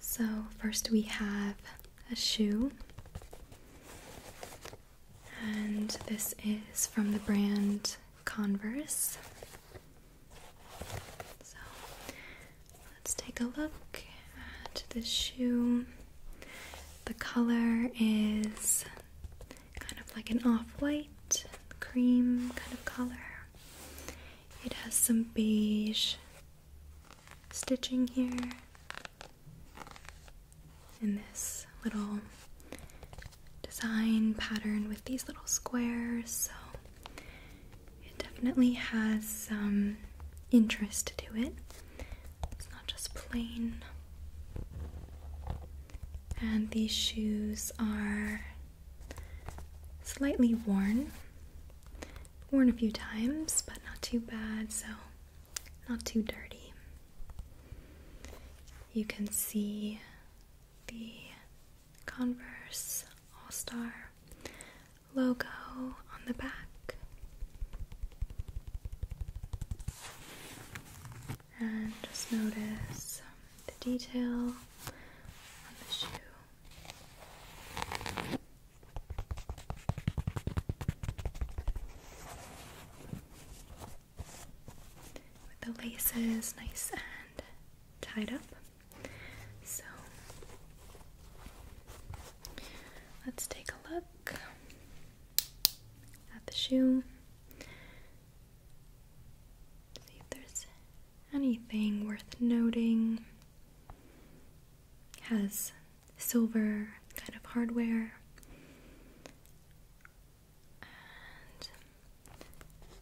So, first we have a shoe, and this is from the brand Converse. So, let's take a look at this shoe. The color is kind of like an off white cream kind of color. It has some beige stitching here and this little design pattern with these little squares so it definitely has some interest to it it's not just plain and these shoes are slightly worn worn a few times, but not too bad, so not too dirty. You can see the Converse All Star logo on the back. And just notice the detail on the shoe. With the laces nice and tied up. So let's take a look at the shoe. See if there's anything worth noting has silver kind of hardware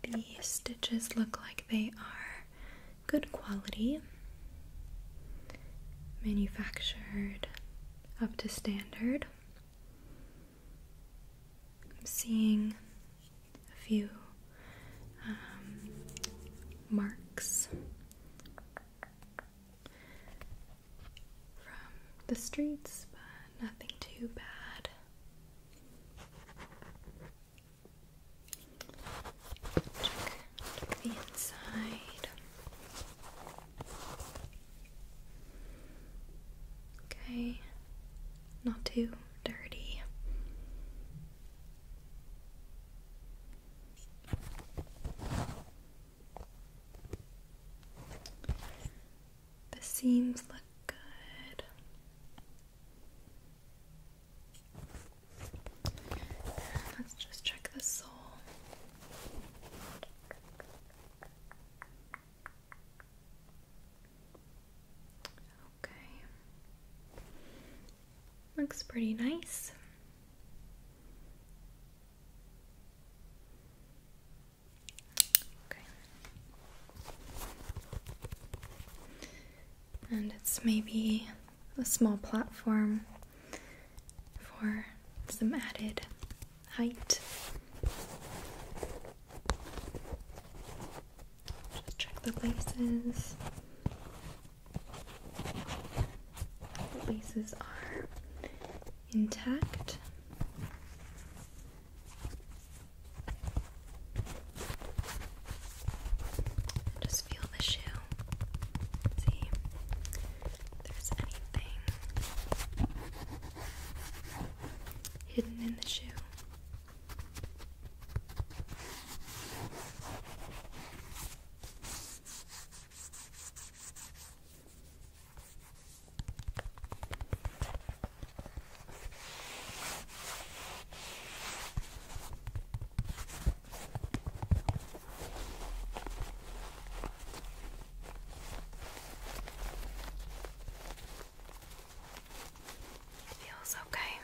and the stitches look like they are good quality manufactured up to standard I'm seeing a few um, marks from the streets, but nothing too bad. check the inside. Okay, not too dirty. The seams look good. Let's just check the sole. Okay. Looks pretty nice. Okay. And it's maybe a small platform for some added height. Just check the laces. The laces are intact. Just feel the shoe. See if there's anything hidden in the shoe. It feels okay.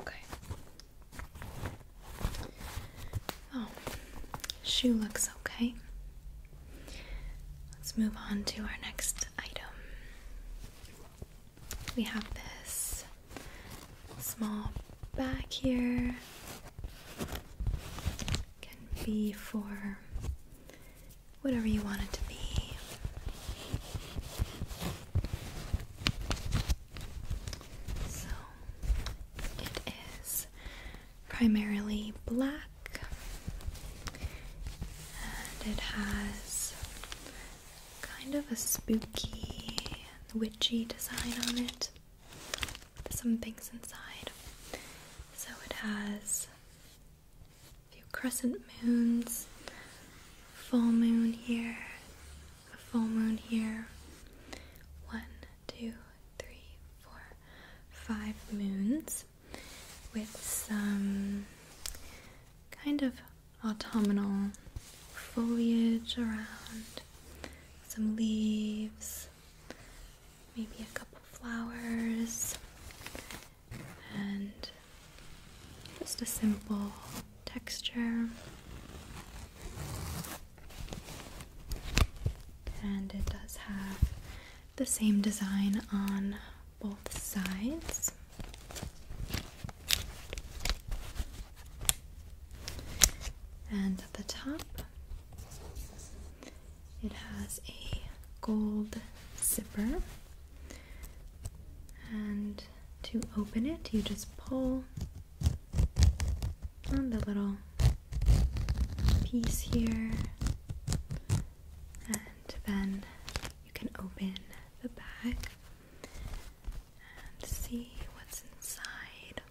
Okay. Oh, shoe looks okay. Let's move on to our next item. We have this small bag here. Can be for whatever you want it to be. So it is primarily black and it has kind of a spooky, witchy design on it some things inside. So it has a few crescent moons, full moon here, a full moon here, one, two, three, four, five moons with some kind of autumnal foliage around, some leaves, maybe a couple flowers and just a simple texture. And it does have the same design on both sides. And at the top, it has a gold zipper, and to open it, you just pull on the little piece here, and then you can open the bag and see what's inside.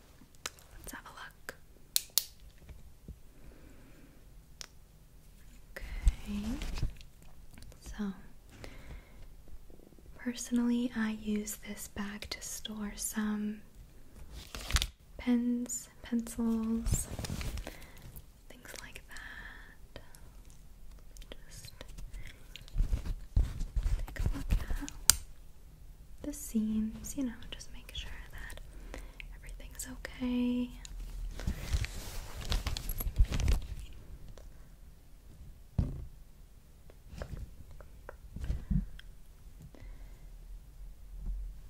Let's have a look. Okay. So, personally, I use this bag to store some pens, pencils, things like that. Just take a look at the seams, you know, just make sure that everything's okay.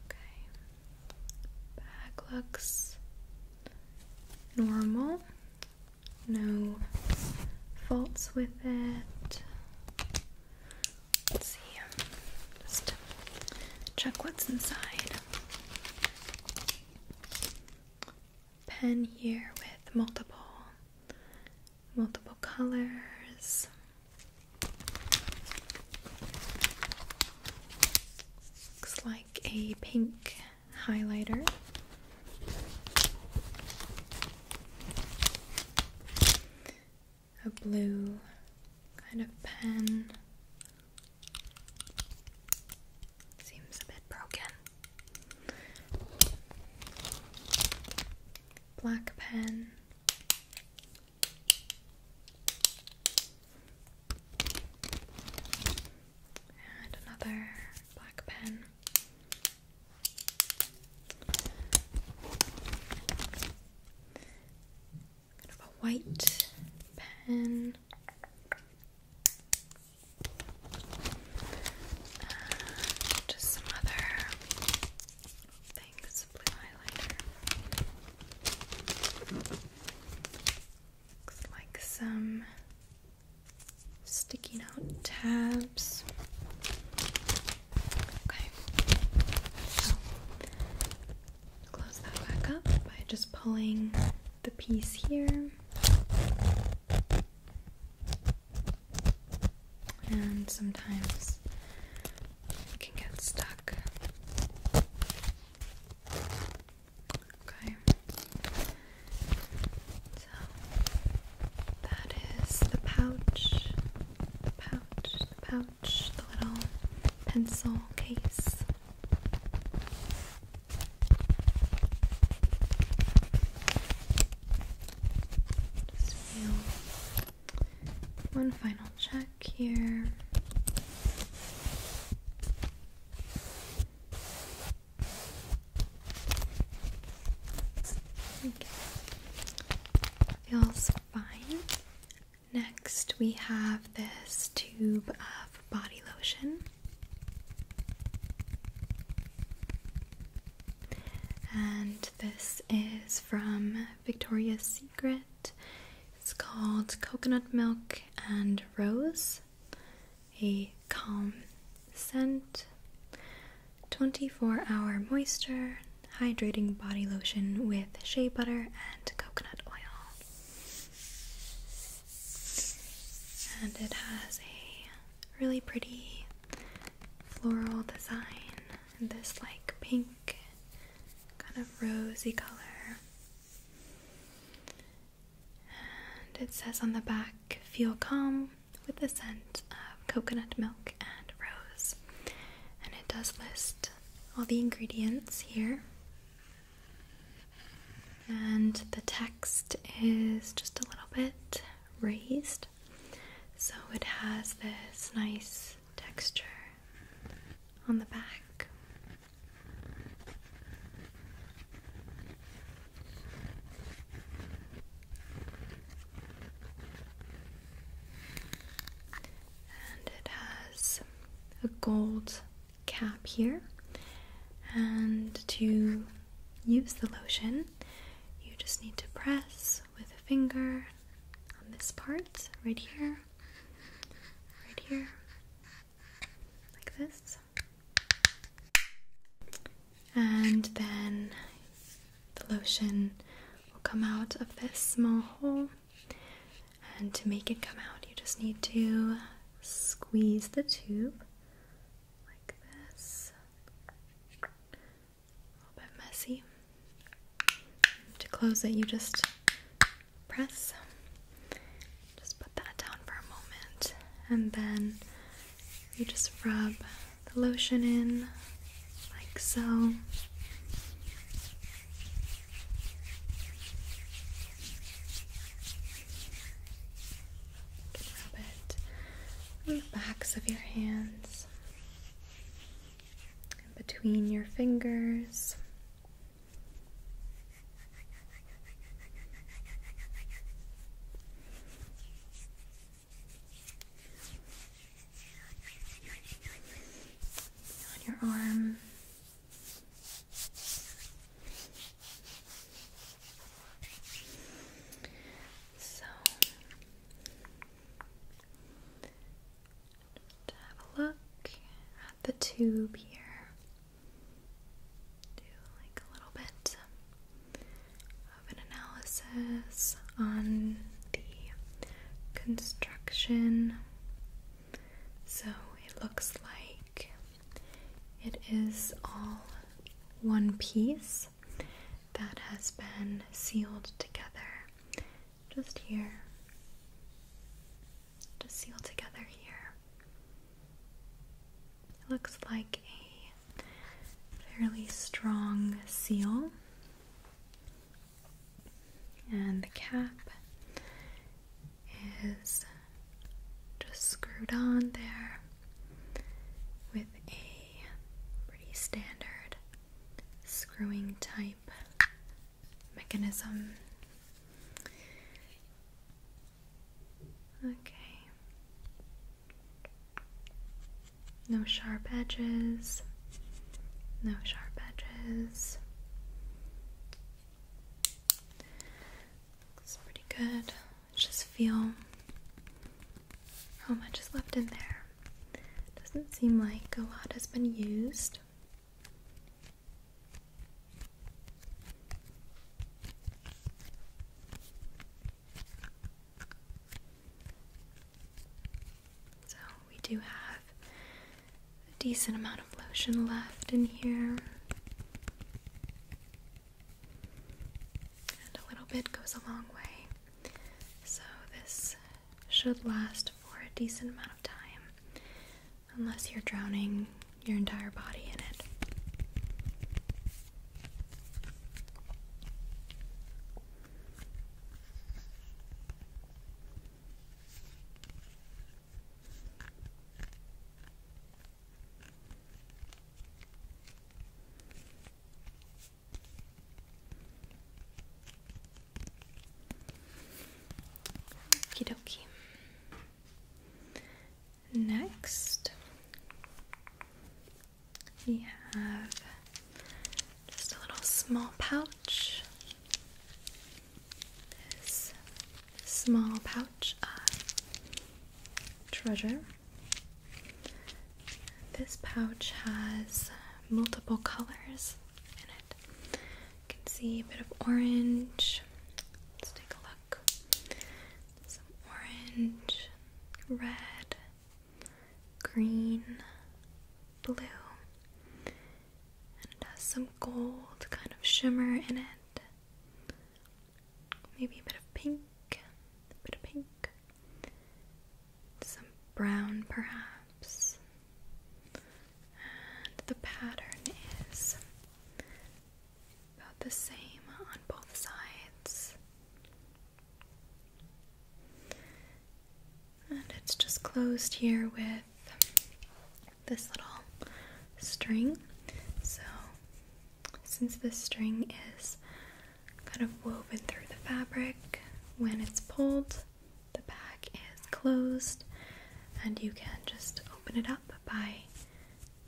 Okay, back looks normal, no faults with it. Let's see. Um, just check what's inside. Pen here with multiple multiple colors. Looks like a pink highlighter a blue kind of pen. Seems a bit broken. Black pen. And another black pen kind of a white pen. just some other things, highlighter. Looks like some sticky note tabs. Okay close that back up by just pulling the piece here and sometimes it can get stuck okay so that is the pouch pouch pouch the little pencil case. Just feel one final check here. Okay. Feels fine. Next, we have this tube of body lotion. And this is from Victoria's Secret. It's called Coconut Milk and Rose, a calm scent, 24 hour moisture, hydrating body lotion with shea butter and coconut oil. And it has a really pretty floral design in this like pink kind of rosy color. And it says on the back, feel calm with the scent of coconut milk and rose. And it does list all the ingredients here. And the text is just a little bit raised, so it has this nice texture on the back and it has a gold cap here. And to use the lotion, you just need to press with a finger on this part right here, right here, like this. And then the lotion will come out of this small hole and to make it come out, you just need to squeeze the tube like this. A little bit messy. To close it, you just press. Just put that down for a moment, and then you just rub the lotion in like so. Rub it on the backs of your hands, between your fingers on your arm. So just have a look at the tube here. Do like a little bit of an analysis on the construction. So it looks like it is all one piece that has been sealed together just here. Just sealed together here. It looks like a fairly strong seal and the cap is just screwed on there with a pretty standard screwing type mechanism. Okay. No sharp edges. No sharp edges. Looks pretty good. let just feel how much is left in there. Doesn't seem like a lot has been used. So we do have a decent amount of lotion left in here. And a little bit goes a long way. So this should last for a decent amount of time, unless you're drowning your entire body in it. Okie dokie. Next, we have just a little small pouch. This small pouch of treasure. This pouch has multiple colors in it. You can see a bit of orange. Let's take a look. Some orange, red, green, blue, and has some gold kind of shimmer in it. Maybe a bit of pink, a bit of pink, some brown perhaps. And the pattern is about the same on both sides. And it's just closed here with this little string. So, since this string is kind of woven through the fabric, when it's pulled, the back is closed, and you can just open it up by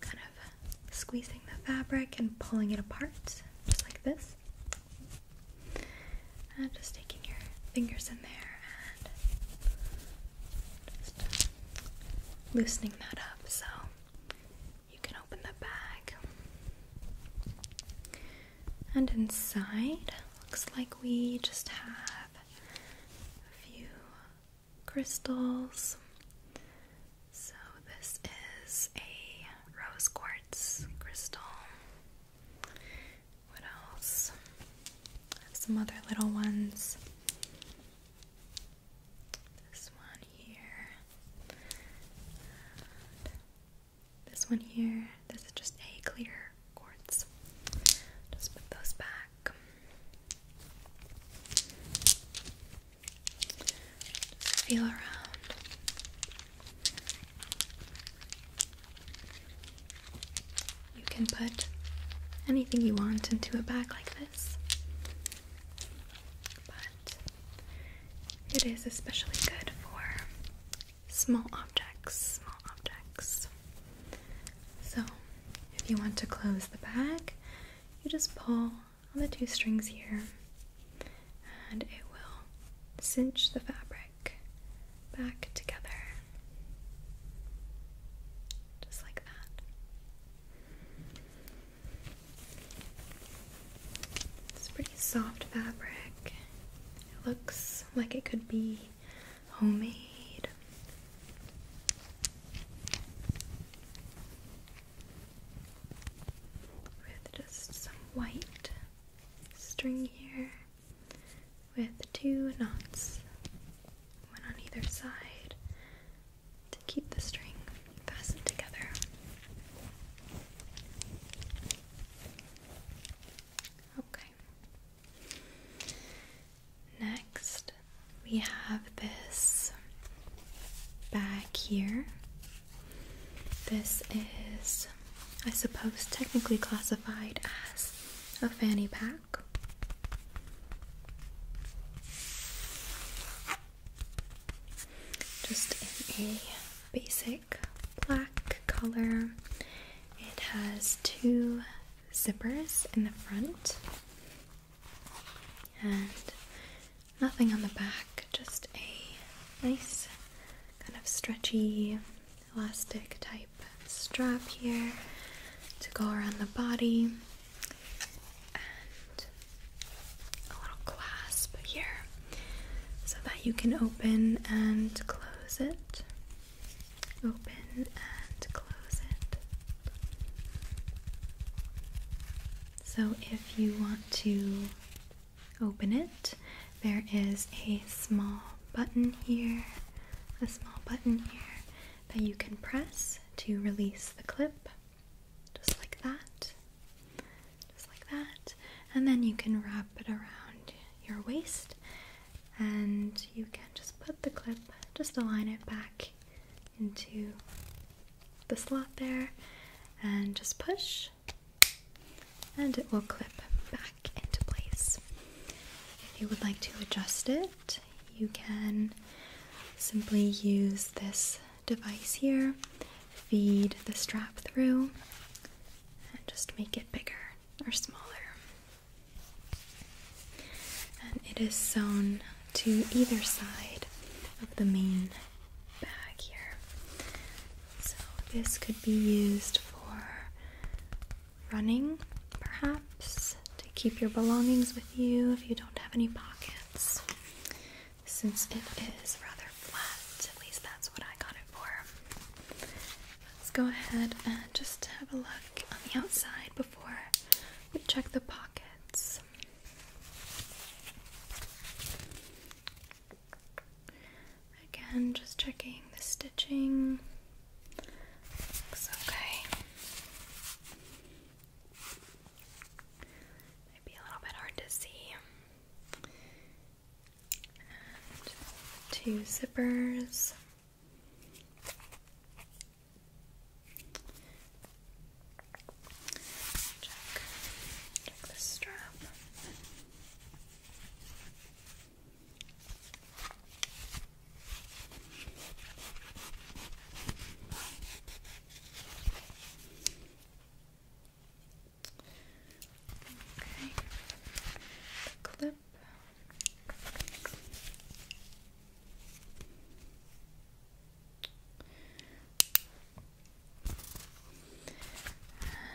kind of squeezing the fabric and pulling it apart, just like this. I'm just taking your fingers in there and just loosening that up so you can open the bag. And inside, looks like we just have a few crystals. So, this is a rose quartz crystal. What else? some other little ones. This one here. this one here. This is just a clear quartz. Just put those back. feel around. You can put anything you want into a bag like this, but it is especially good for small objects. Small objects. So, if you want to close the bag, you just pull on the two strings here and it will cinch the fabric back together just like that. It's pretty soft fabric. It looks like it could be homemade. With just some white string here with two knots, one on either side, to keep the string fastened together. Okay. Next, we have this bag here this is, I suppose, technically classified as a fanny pack. Just in a basic black color. It has two zippers in the front and nothing on the back just a nice kind of stretchy elastic type strap here to go around the body and a little clasp here so that you can open and close it. Open and close it. So if you want to open it, there is a small button here, a small button here that you can press to release the clip, just like that, just like that, and then you can wrap it around your waist and you can just put the clip, just align it back into the slot there and just push and it will clip back into place. If you would like to adjust it, you can simply use this device here, feed the strap through, and just make it bigger or smaller. And it is sewn to either side of the main bag here. So, this could be used for running, perhaps, to keep your belongings with you if you don't have any pockets. Since it is rather flat, at least that's what I got it for. Let's go ahead and just have a look on the outside before we check the pockets. Again, just checking the stitching. Looks okay. Might a little bit hard to see. two zippers. Check, check the strap. Okay, the clip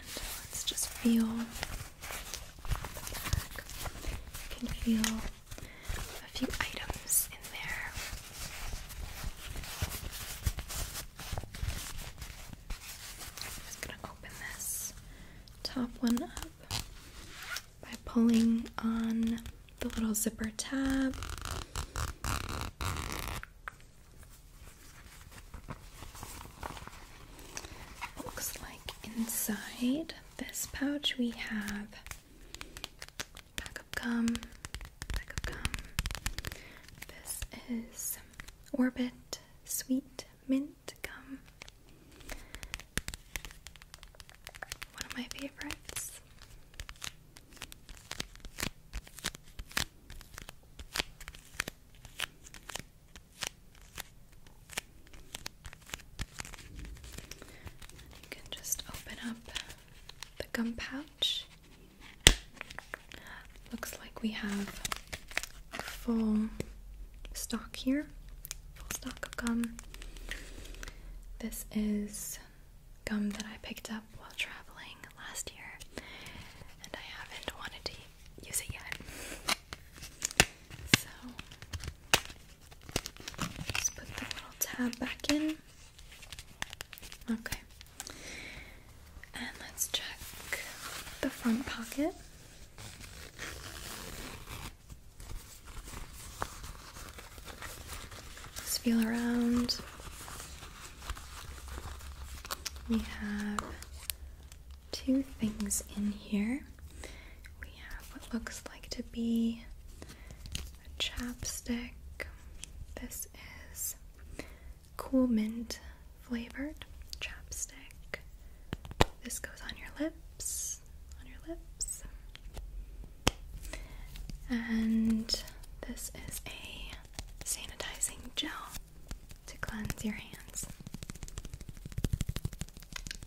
let's just feel the You can feel a few items in there. I'm just going to open this top one up by pulling on the little zipper tab. Looks like inside this pouch we have pack of gum, This is Orbit Sweet Mint Gum. One of my favorites you can just open up the gum pouch. Looks like we have full stock here, full stock of gum. This is gum that I picked up while traveling last year, and I haven't wanted to use it yet. So, just put the little tab back in. Okay. And let's check the front pocket. Just feel around. We have two things in here. We have what looks like to be a chapstick. This is cool mint flavored chapstick. This goes on your lips, on your lips. And this is a sanitizing gel to cleanse your hands.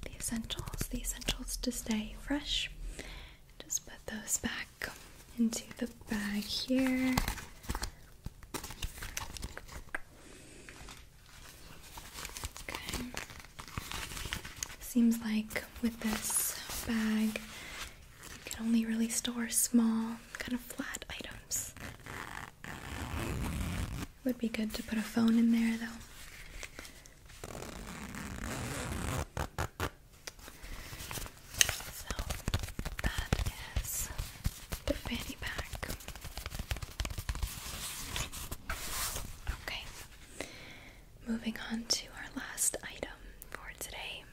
The essentials, the essentials to stay fresh. Just put those back into the bag here. Okay. Seems like with this bag, you can only really store small, kind of flat items. would be good to put a phone in there though. So that is the fanny pack. Okay, moving on to our last item for today.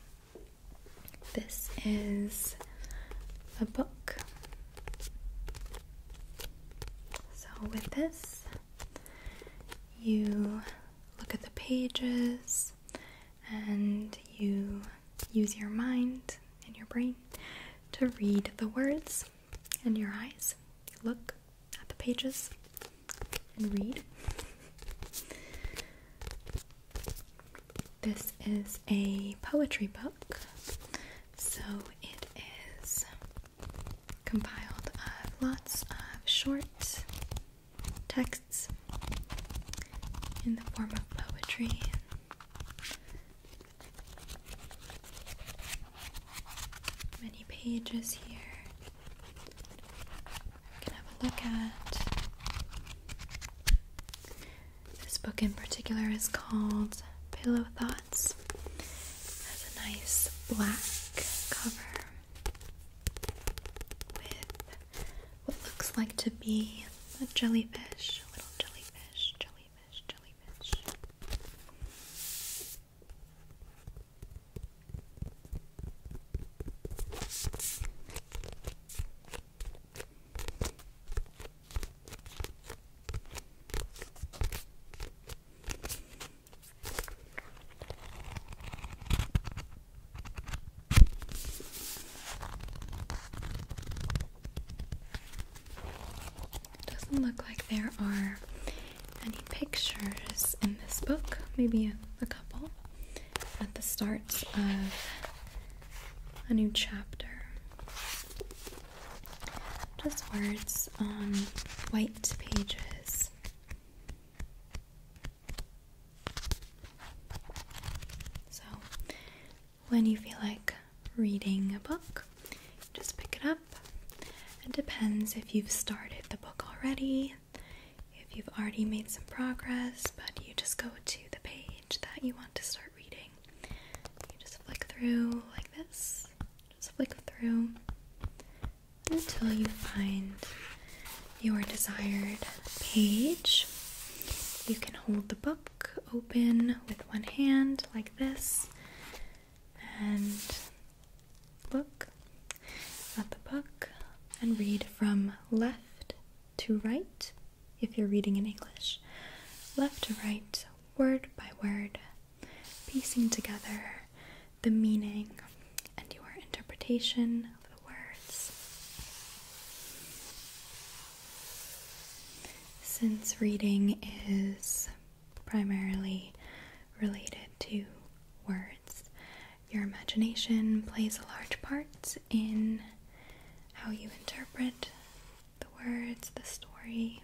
This is a book. So, with this, you look at the pages and you use your mind and your brain to read the words, and your eyes look at the pages and read. This is a poetry book, so it is compiled of lots of short texts in the form of poetry. Many pages here. We can have a look at. This book in particular is called Pillow Thoughts. It has a nice black cover with what looks like to be a jellyfish, a little jellyfish, jellyfish, jellyfish. It doesn't look like there are any pictures in this book, maybe a, a couple at the start of a new chapter. Just words on white pages. So, when you feel like reading a book, just pick it up. It depends if you've started the book already, if you've already made some progress, but you just go to the page that you want to start reading. You just flick through like this. Just flick through until you find your desired page. You can hold the book open with one hand like this and look at the book and read from left to right if you're reading in English, left to right, word by word, piecing together the meaning and your interpretation of the words. Since reading is primarily related to words, your imagination plays a large part in how you interpret the words, the story.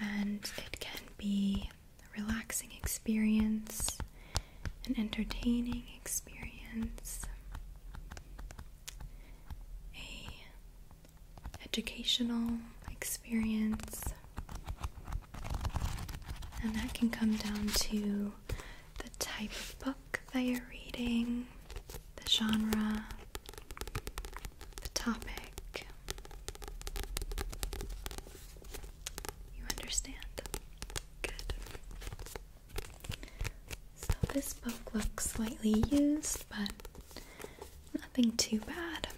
And it can be a relaxing experience, an entertaining experience, a educational experience. And that can come down to the type of book that you're reading, the genre, the topic. You understand? Good. So this book looks slightly used, but nothing too bad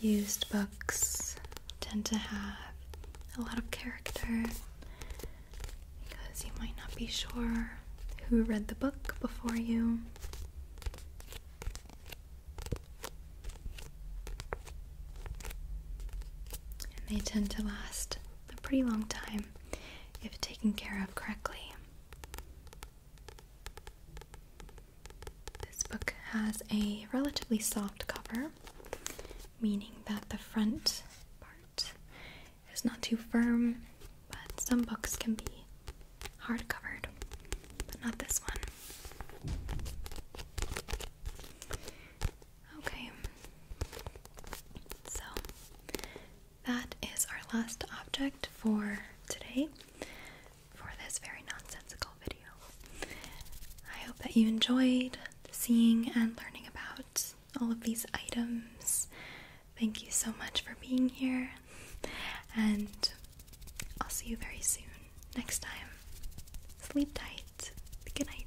used books tend to have a lot of character because you might not be sure who read the book before you. And they tend to last a pretty long time if taken care of correctly. This book has a relatively soft cover meaning that the front part is not too firm, but some books can be hard covered, but not this one. Okay, so that is our last object for today for this very nonsensical video. I hope that you enjoyed seeing and learning about all of these items. Thank you so much for being here, and I'll see you very soon. Next time, sleep tight. Good night.